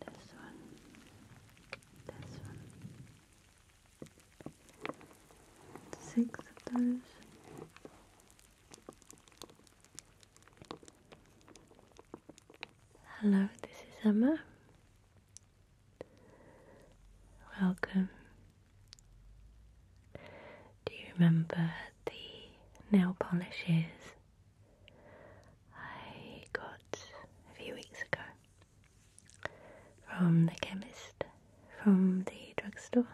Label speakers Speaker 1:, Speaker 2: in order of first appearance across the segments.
Speaker 1: This one, this one, six of those. Hello, this is Emma. Welcome. Do you remember the nail polishes I got a few weeks ago from the chemist from the drugstore.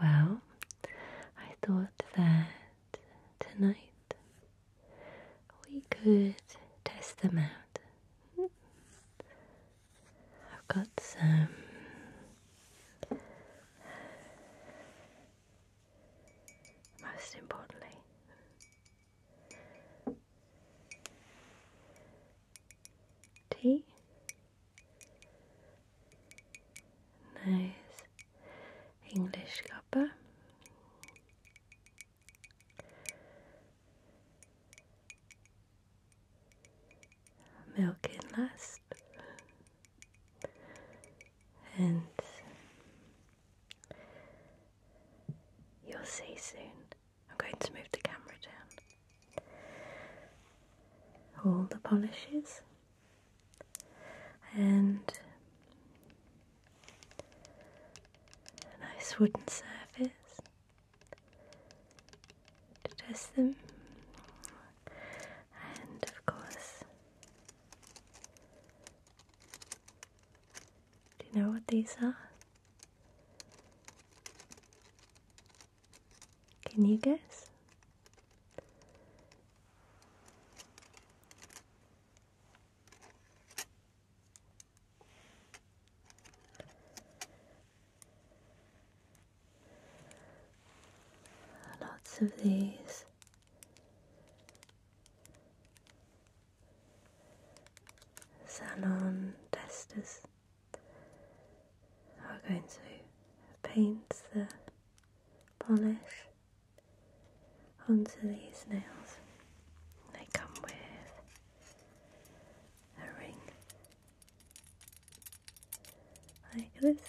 Speaker 1: Well, I thought that tonight we could test them out. I've got some most importantly, tea, nice English copper. Milk in less. And you'll see soon. I'm going to move the camera down. All the polishes and nice wooden surface to test them, and of course, do you know what these are? Can you guess? Lots of these salon testers are going to paint the polish onto these nails. They come with a ring like this.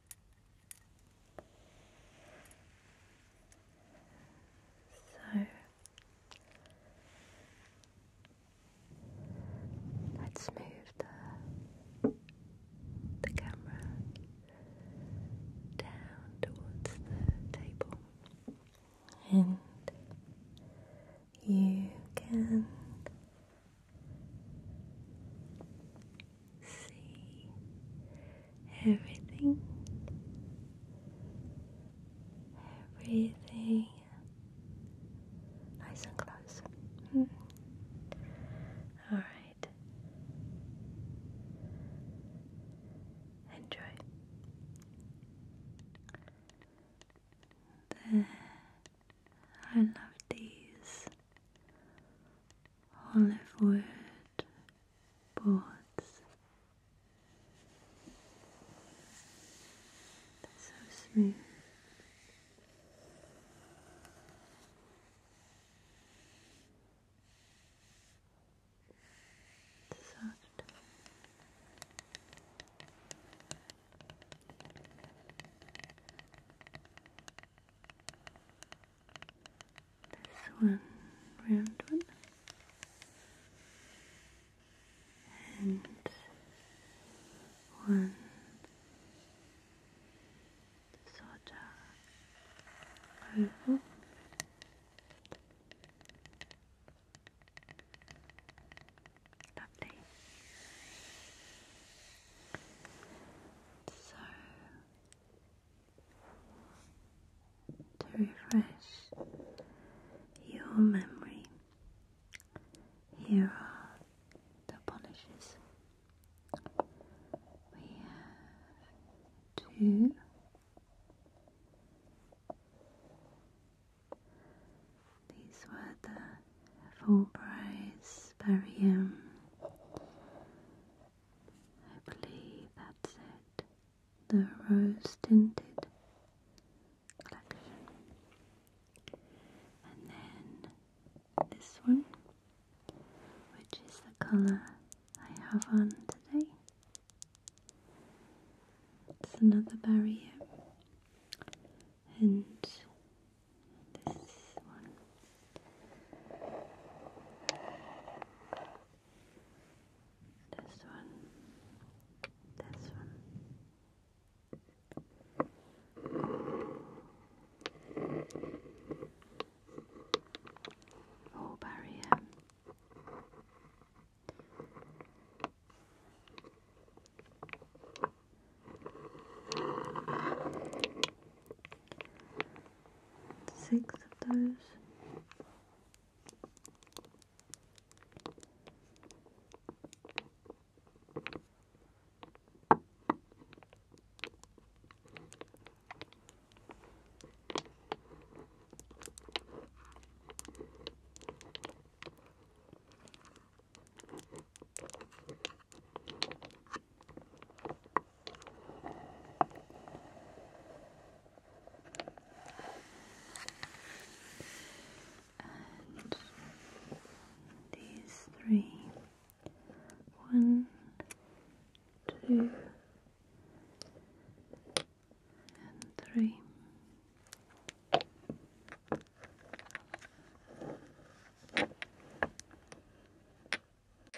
Speaker 1: So let's move the the camera down towards the table and you can see everything, everything nice and close. Hmm. All right, enjoy. I love these olive wood boards. They're so smooth. Soft. This one, round one, and one sort oval. Lovely. So to refresh your memory. Here are the polishes. We have two. These were the full price barium I believe that's it. The rose tinted collection. And then this one, which is the colour I have on today. It's another barrier. And this one this one, this one. Oh, barrier six of those and these three one, two, and three.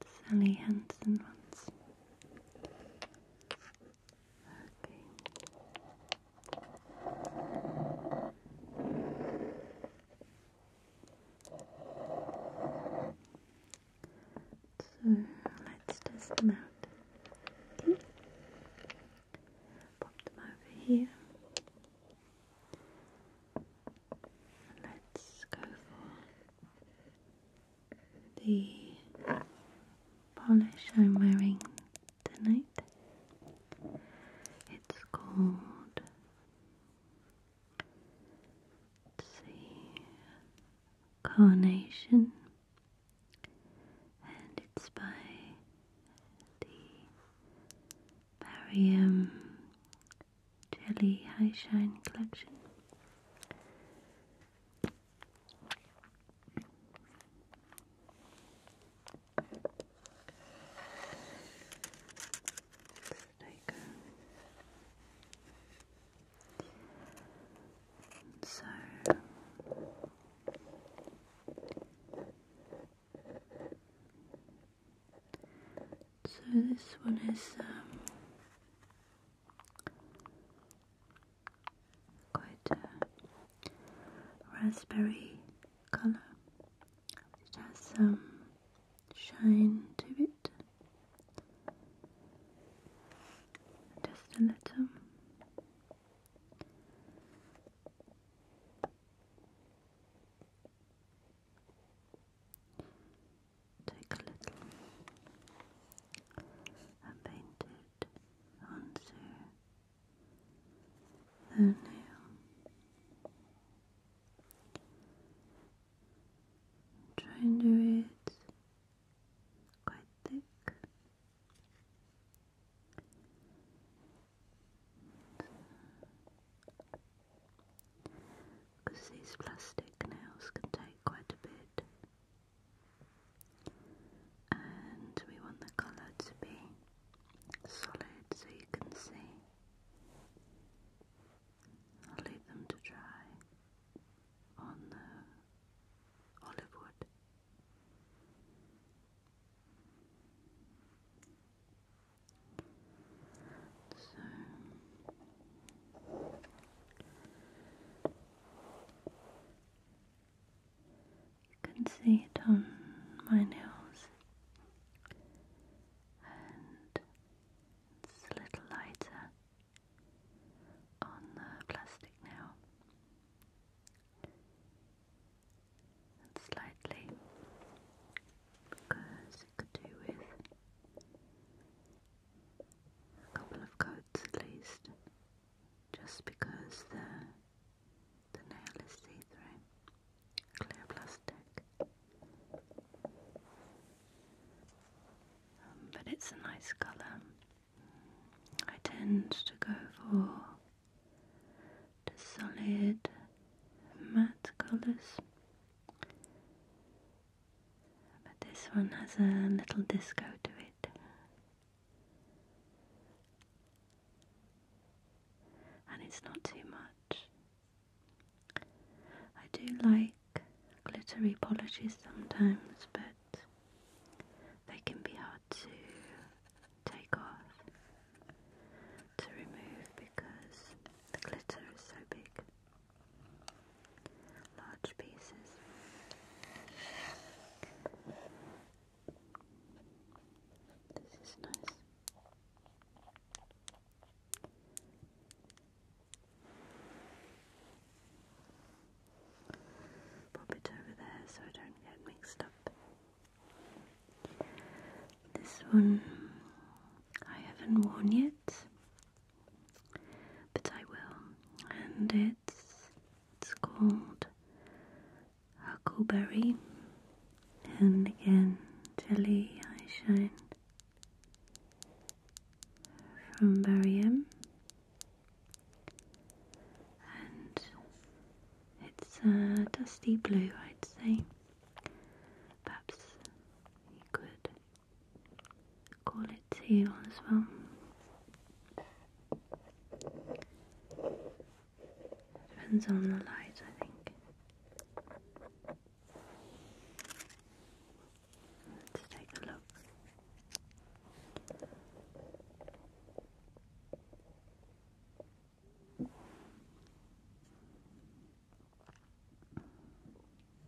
Speaker 1: the Sally Hansen ones. Okay. So let's test them out. Okay. Pop them over here let's go for the polish I'm wearing tonight. It's called. let Carnation, and it's by the Barium Jelly High Shine collection. So so this one is um, quite a raspberry colour. It has some shine to it, just a little take a little paint it onto the nail. Try and do it quite thick because these plastic nails can take quite a bit. And we want the colour to be solid so you can see. I'll leave them to dry on the olive wood you can see it on my nails, and it's a little lighter on the plastic nail, slightly because it could do with a couple of coats at least, just because the, the nail is see-through, clear plastic. Um, but it's a nice colour. I tend to go for solid matte colours but this one has a little disco to it. And it's not too much. I do like glittery polishes sometimes, but they can be hard to take off, to remove because the glitter is so big large pieces. This is nice. Pop it over there so I don't get mixed up. This one I haven't worn yet, but I will. And it's it's called Huckleberry, and again Jelly Eyeshine from Barium, and it's a uh, dusty blue, I'd say. Perhaps you could call it teal as well. Depends on the light, I think. Let's take a look.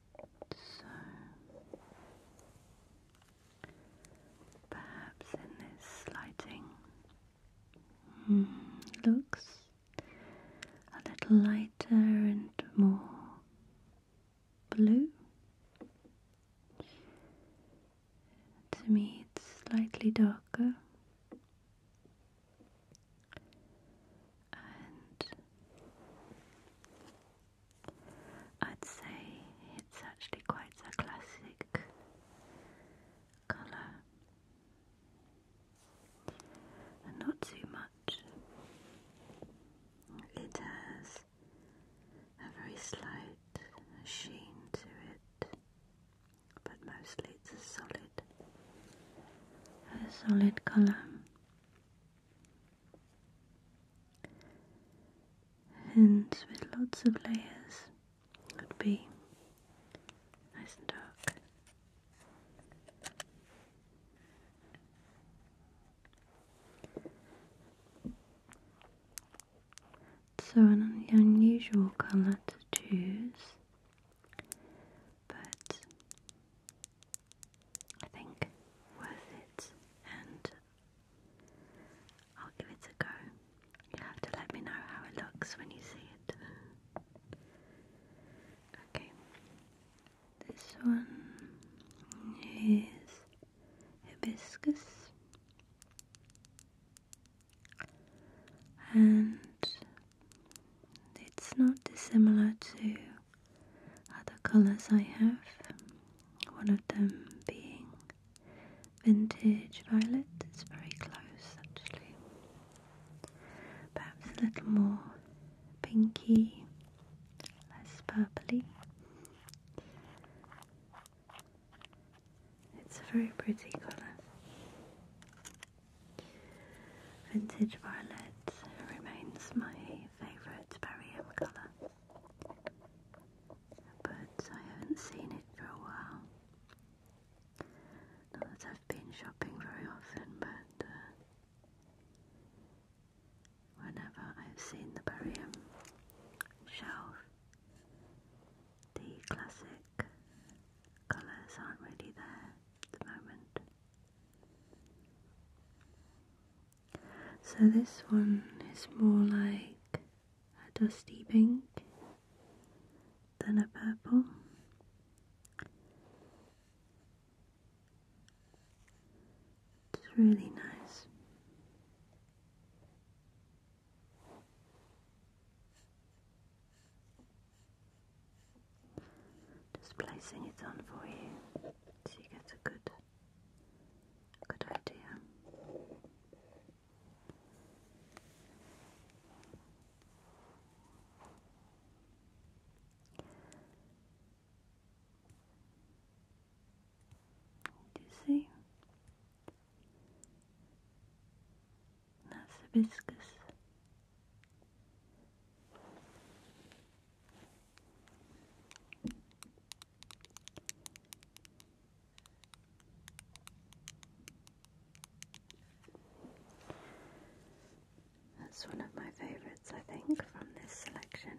Speaker 1: So, perhaps in this lighting hmm, looks a little lighter and more blue. To me, it's slightly darker. I'd say it's actually quite a classic colour and not too much. It has a very slight sheen to it, but mostly it's solid, a solid colour and with lots of layers would be nice and dark. So an unusual colour to choose, but I think worth it, and I'll give it a go. you have to let me know how it looks when you see it. Okay, this one is hibiscus. And it's not dissimilar to other colors I have. One of them being vintage violet. It's very close actually. Perhaps a little more pinky, less purply. It's a very pretty colour. Vintage violet remains my favourite barium colour, but I haven't seen it for a while. Not that I've been shopping very often, but uh, whenever I've seen the barium shelf, the classic colours aren't really there at the moment. So this one is more like a dusty pink than a purple. It's really nice. Just placing it on for you so you get a good Good idea. Do you see? That's that's one of my favourites, I think, from this selection.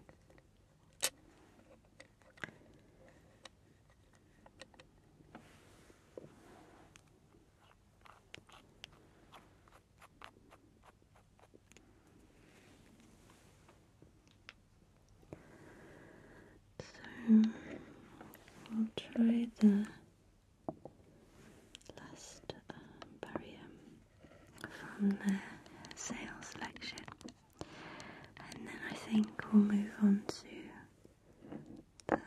Speaker 1: So I'll try the last uh, from the sales section, and then I think we'll move on to the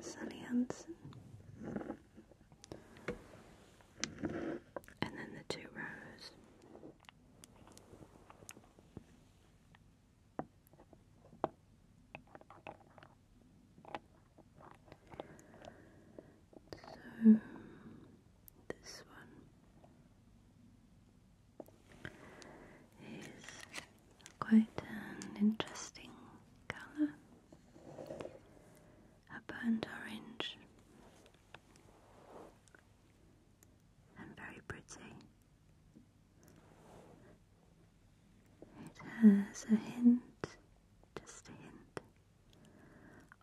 Speaker 1: Sally and then the two rows. So this one is quite an interesting colour, a burnt orange and very pretty. It has a hint, just a hint,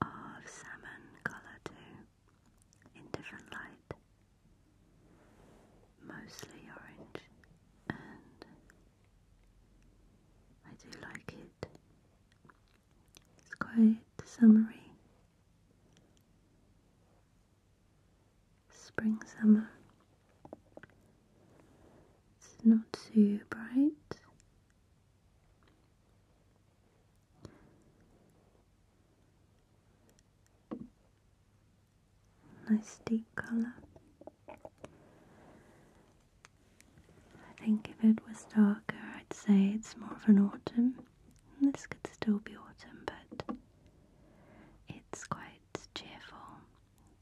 Speaker 1: of salmon colour too, in different light, mostly orange, and I do like it. It's quite the summary. Spring summer. It's not too bright. Nice deep colour. I think if it was darker, I'd say it's more of an autumn. This could still be autumn, but it's quite cheerful,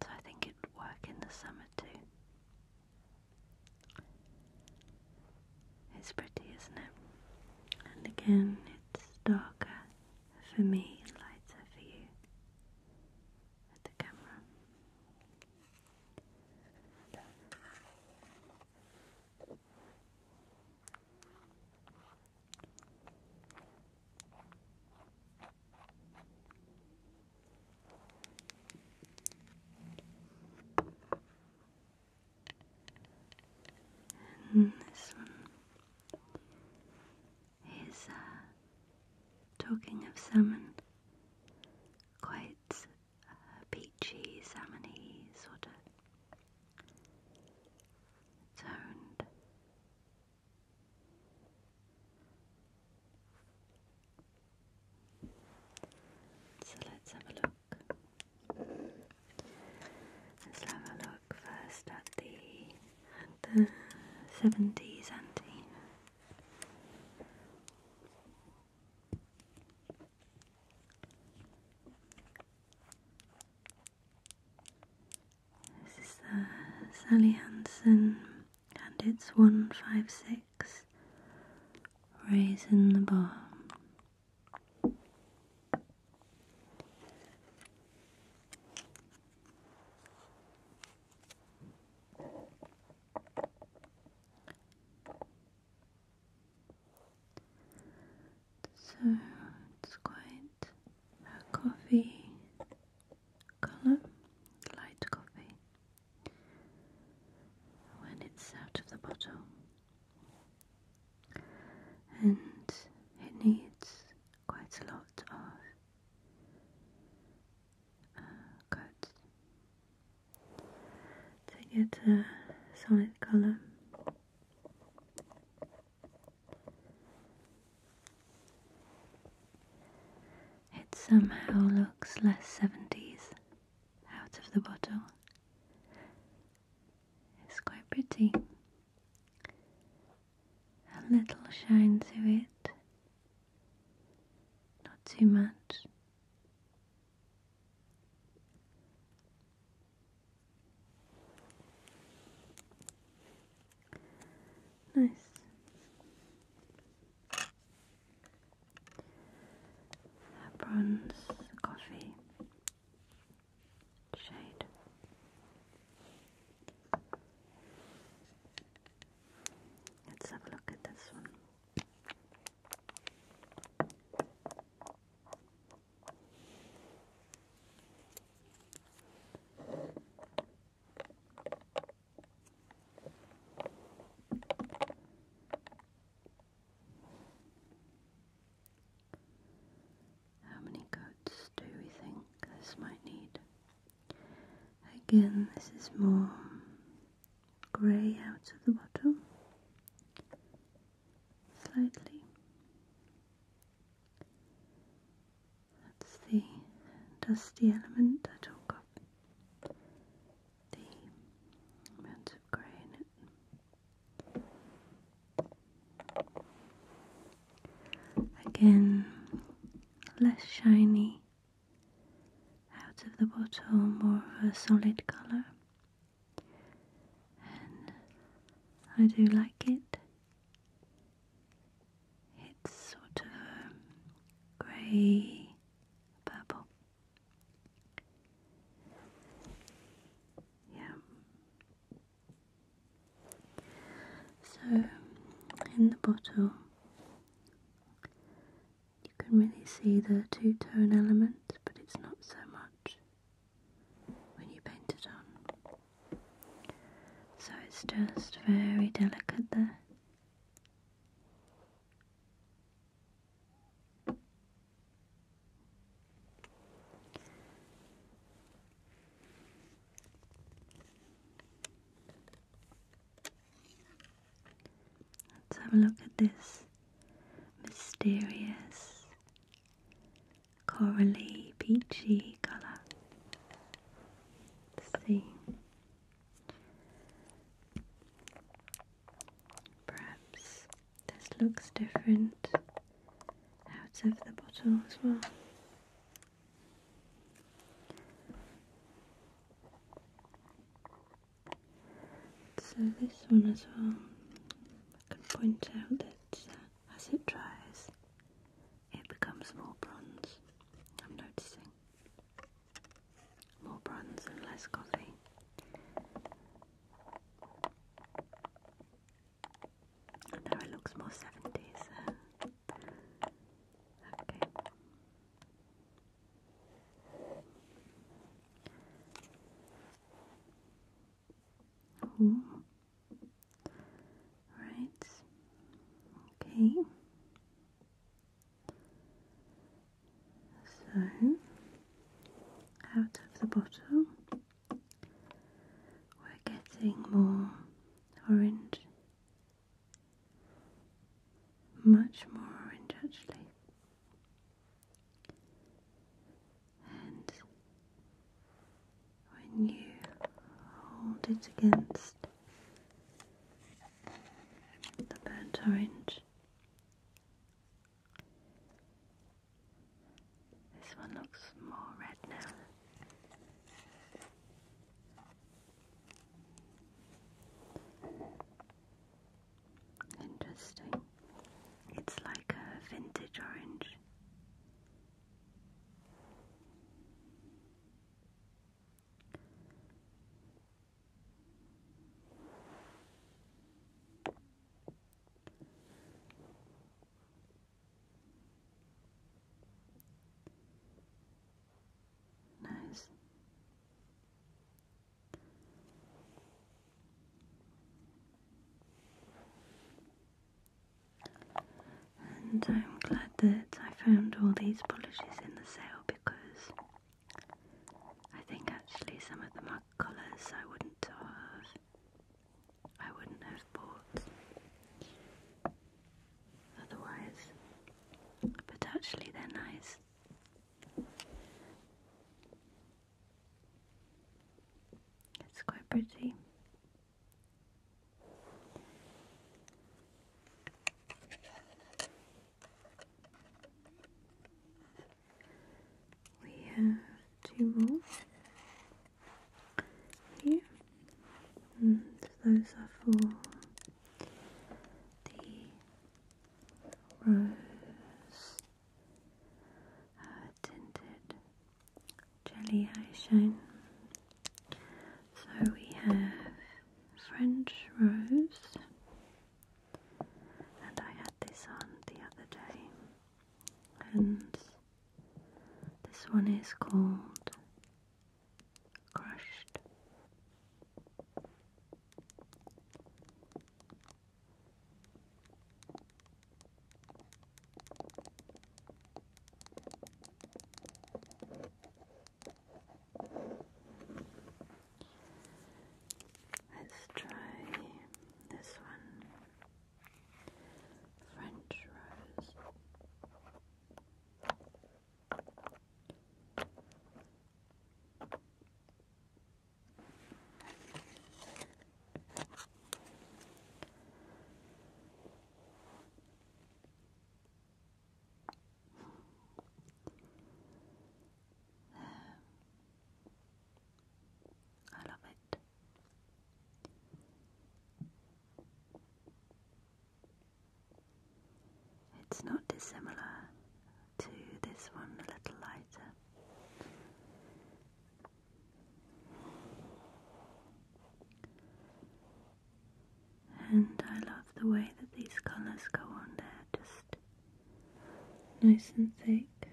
Speaker 1: so I think it would work in the summer too. It's pretty, isn't it? And again, it's darker for me, lighter for you at the camera. And this one is uh, talking of salmon quite peachy, salmony sort of toned. So let's have a look. Let's have a look first at the at the seventies anti. This is Sally Hansen and it's 156 Raising the Bar. So it's quite a coffee colour, light coffee, when it's out of the bottle. And it needs quite a lot of uh, coats to get a solid color. It somehow looks less 70s out of the bottle. It's quite pretty. A little shine to it, not too much. Nice. Bronze coffee shade. Let's have a look at this one. How many coats do we think this might need? Again, this is more grey out of the bottom slightly. That's the dusty element I talk of, the amount of grey in it. Again, less shiny out of the bottle, more of a solid colour. I do like it. It's sort of um, grey purple. Yeah. So in the bottle you can really see the two-tone element, but it's not so much when you paint it on. So it's just very delicate there. Let's have a look at this mysterious corally peachy color see. Perhaps this looks different out of the bottle as well. So this one as well, I can point out that as it dries, it becomes more bronze. I'm noticing more bronze and less coffee. now it looks more seventies. Okay. Right. Okay. So out of the bottle we're getting more orange. Much more orange actually and when you hold it against the burnt orange, this one looks more red now. Interesting. It's like a vintage orange. Nice. And I'm glad that I found all these polishes in the sale because I think actually some of them are colours I wouldn't have I wouldn't have bought otherwise. But actually they're nice. It's quite pretty. We have two more here, and mm, those are for the rose uh, tinted jelly eyeshine. So we have French Rose, and I had this on the other day, and this one is called Crushed. Let's try this one French rose. I love it. It's not dissimilar to this one, a little lighter. And I love the way that these colours go on there, just nice and thick.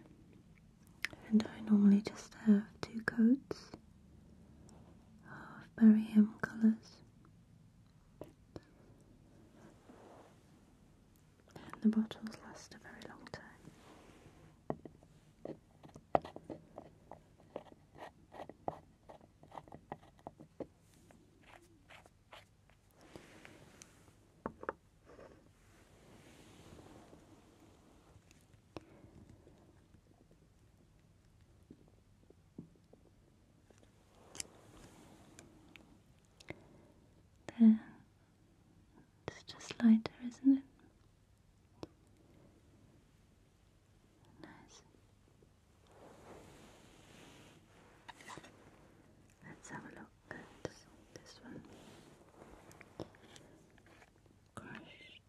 Speaker 1: And I normally just have two coats of barium colours and the bottles last a very long time. There it's just lighter, isn't it? Nice. Let's have a look at this one. Crushed.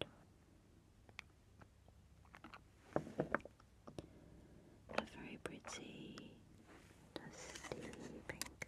Speaker 1: A very pretty dusty pink.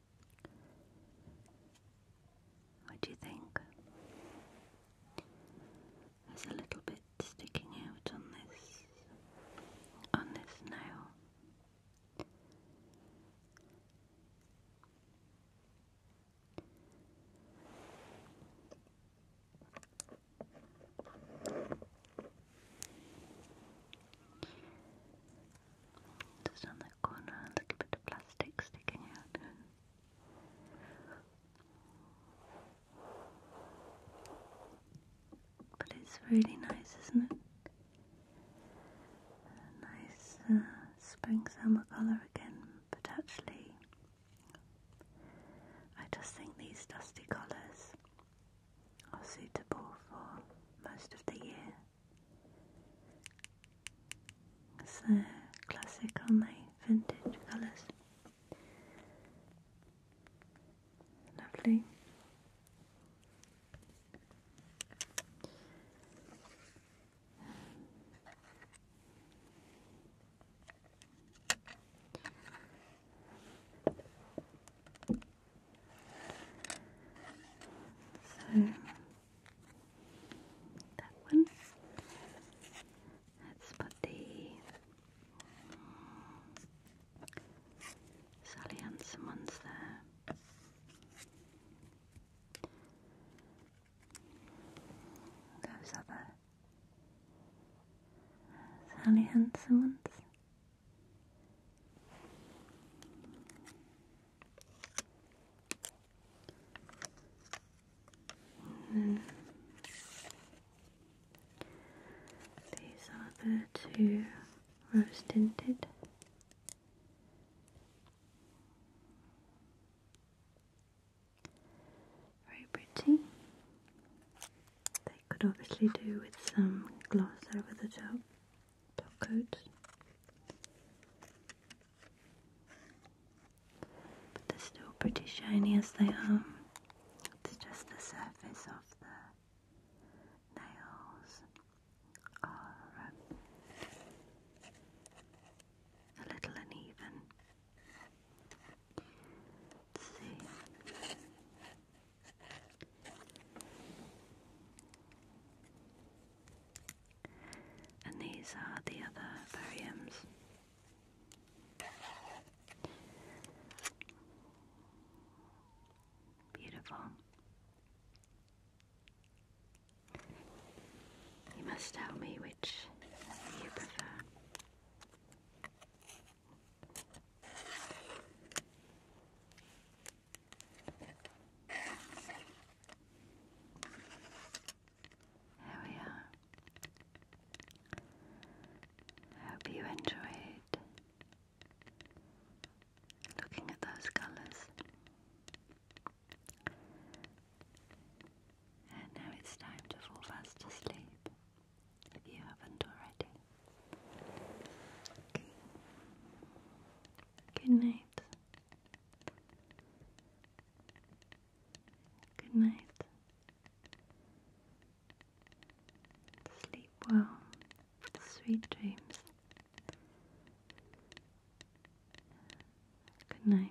Speaker 1: What do you think? There's a little bit sticking out on this on this nail. Doesn't but it's really nice, isn't it? nice uh, spring summer colour again, but actually, I just think these dusty colours are suitable for most of the year. So classic, aren't Vintage colours. Lovely. So that one. Let's put the mm, Sally Hansen ones there. Those other Sally Hansen ones these are the two rose tinted. Very pretty. They could obviously do with some gloss over the top barcodes. But they're still pretty shiny as they are. It's just the surface of the nails are um, a little uneven. Let's see. And these are the other bariums. Beautiful. You must tell me which you prefer. There we are. I hope you enjoyed looking at those colours. And now it's time to fall fast asleep if you haven't already. Good night. Good night. Sleep well. Sweet dreams. Good night.